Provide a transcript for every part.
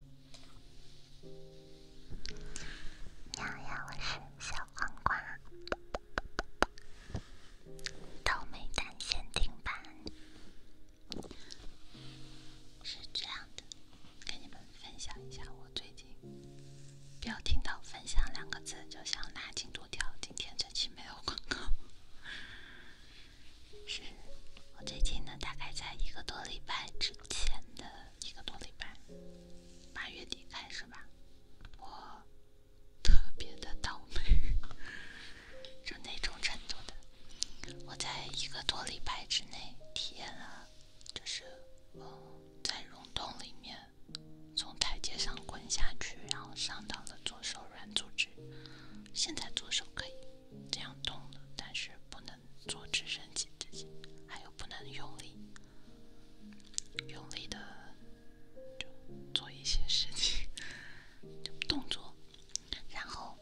你好我是小黄瓜，倒霉蛋限定版。是这样的，跟你们分享一下我最近，不要听到“分享”两个字就想拉进度条。今天这期没有广告，是我最近的，大概在一个多礼拜之。前的一个多礼拜，八月底开始吧，我特别的倒霉，就那种程度的，我在一个多礼拜之内体验了，就是我在溶洞里面从台阶上滚下去，然后伤到了左手软组织，现在左手可以这样动了，但是不能。坐直升机之前，还有不能用力、用力的就做一些事情、动作。然后，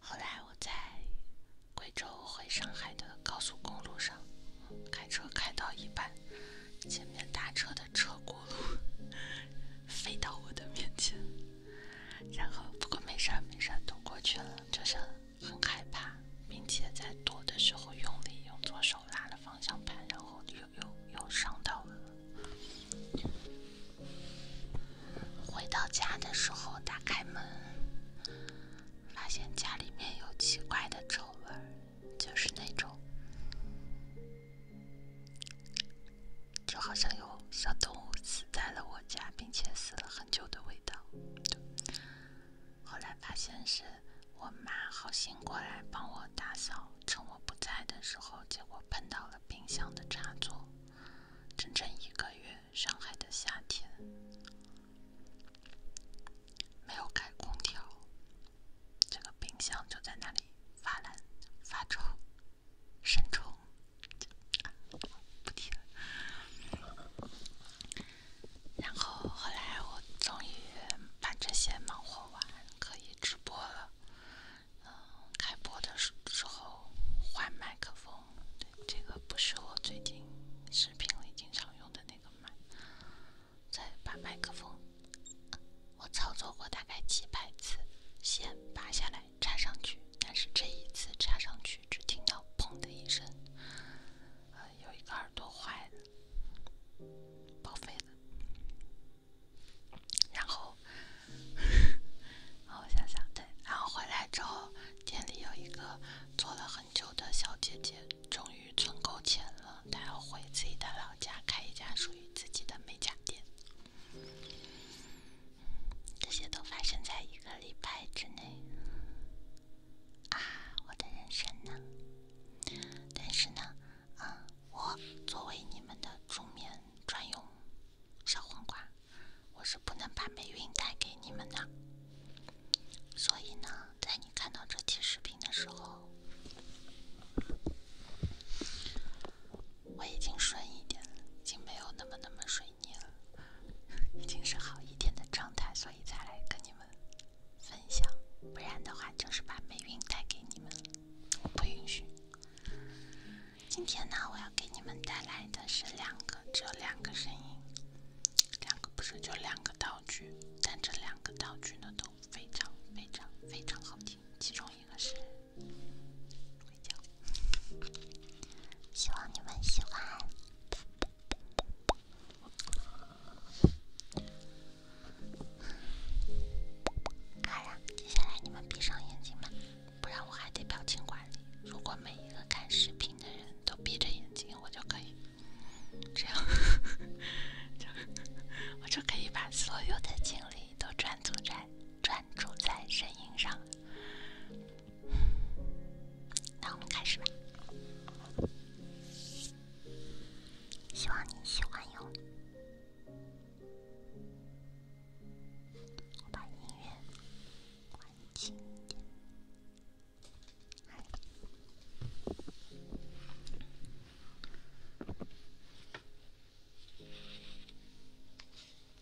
后来我在贵州回上海的高速公路上开车开到一半，前面大车的车轱辘飞到我的面前。然后，不过没事儿，没事儿，都过去了，就是很害怕，并且在躲的时候用力用左手拉了方向盘，然后又又又伤到了。回到家的时候，打开门，发现家里面有奇怪的臭味儿，就是那种，就好像有小动物死在了我家，并且死了很。很久的味道。后来发现是我妈好心过来帮我打扫，趁我不在的时候，结果碰到了冰箱的插座。整整一个月，上海的夏天没有开空调，这个冰箱就在那里发冷发臭。删除，不提了。然后后来我终于把这些忙活完，可以直播了。嗯，开播的时时候换麦克风，对，这个不是我最近视频里经常用的那个麦。再把麦克风，我操作过大概几百次，先拔下来。插上去，但是这一次插上去，只听到砰的一声，呃，有一个耳朵坏了，报废了。然后，我想想，对，然后回来之后，店里有一个做了很久的小姐姐，终于存够钱了，她要回自己的老家开一家属于自己的美甲店。这些都发生在一个礼拜之内啊！我的人生呢？但是呢，啊，我作为你们的助眠专用小黄瓜，我是不能把霉运带给你们的。所以呢，在你看到这期视频的时候，我已经顺一点了，已经没有那么那么顺。你了，已经是好一点的状态，所以才来跟你们分享。不然的话，就是把霉运带给你们，我不允许。今天呢，我要给你们带来的是两个，只有两个声音，两个不是就两个道具，但这两个道具呢都非常非常非常好听，其中一个是。希望你们喜欢。接下来你们闭上眼睛吧，不然我还得表情管理。如果每一个看视频的人都闭着眼睛，我就可以这样，我就可以把所有的精力都专注在专注在声音上那我们开始吧，希望你喜欢哟。我把音乐关轻一点，好。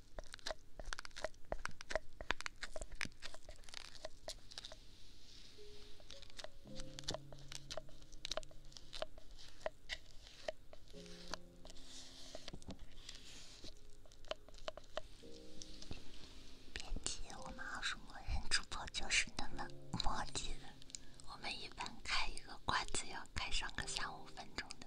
别急，我们二叔墨人主播就是那么墨迹的。我们一般开一个罐子要开上个三五分钟的。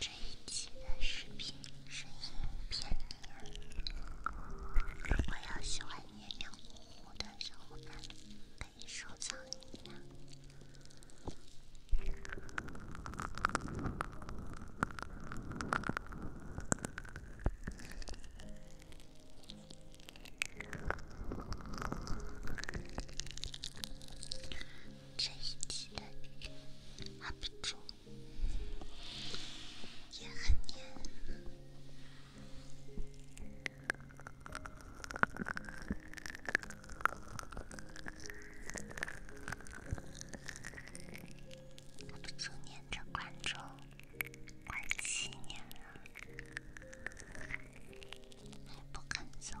这一期的视频声音偏女，如果要喜欢黏黏糊糊的小伙伴，可以收藏一下。支持的阿鼻猪也很黏，我都粘着观众。我七年，不敢说。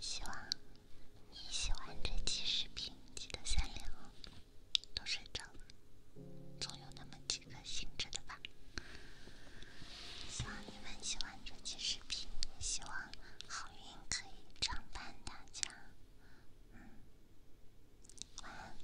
希望你喜欢这期视频，记得三连哦。都睡着了，总有那么几个醒着的吧。希望你们喜欢这期视频，希望好运可以常伴大家。嗯，晚安。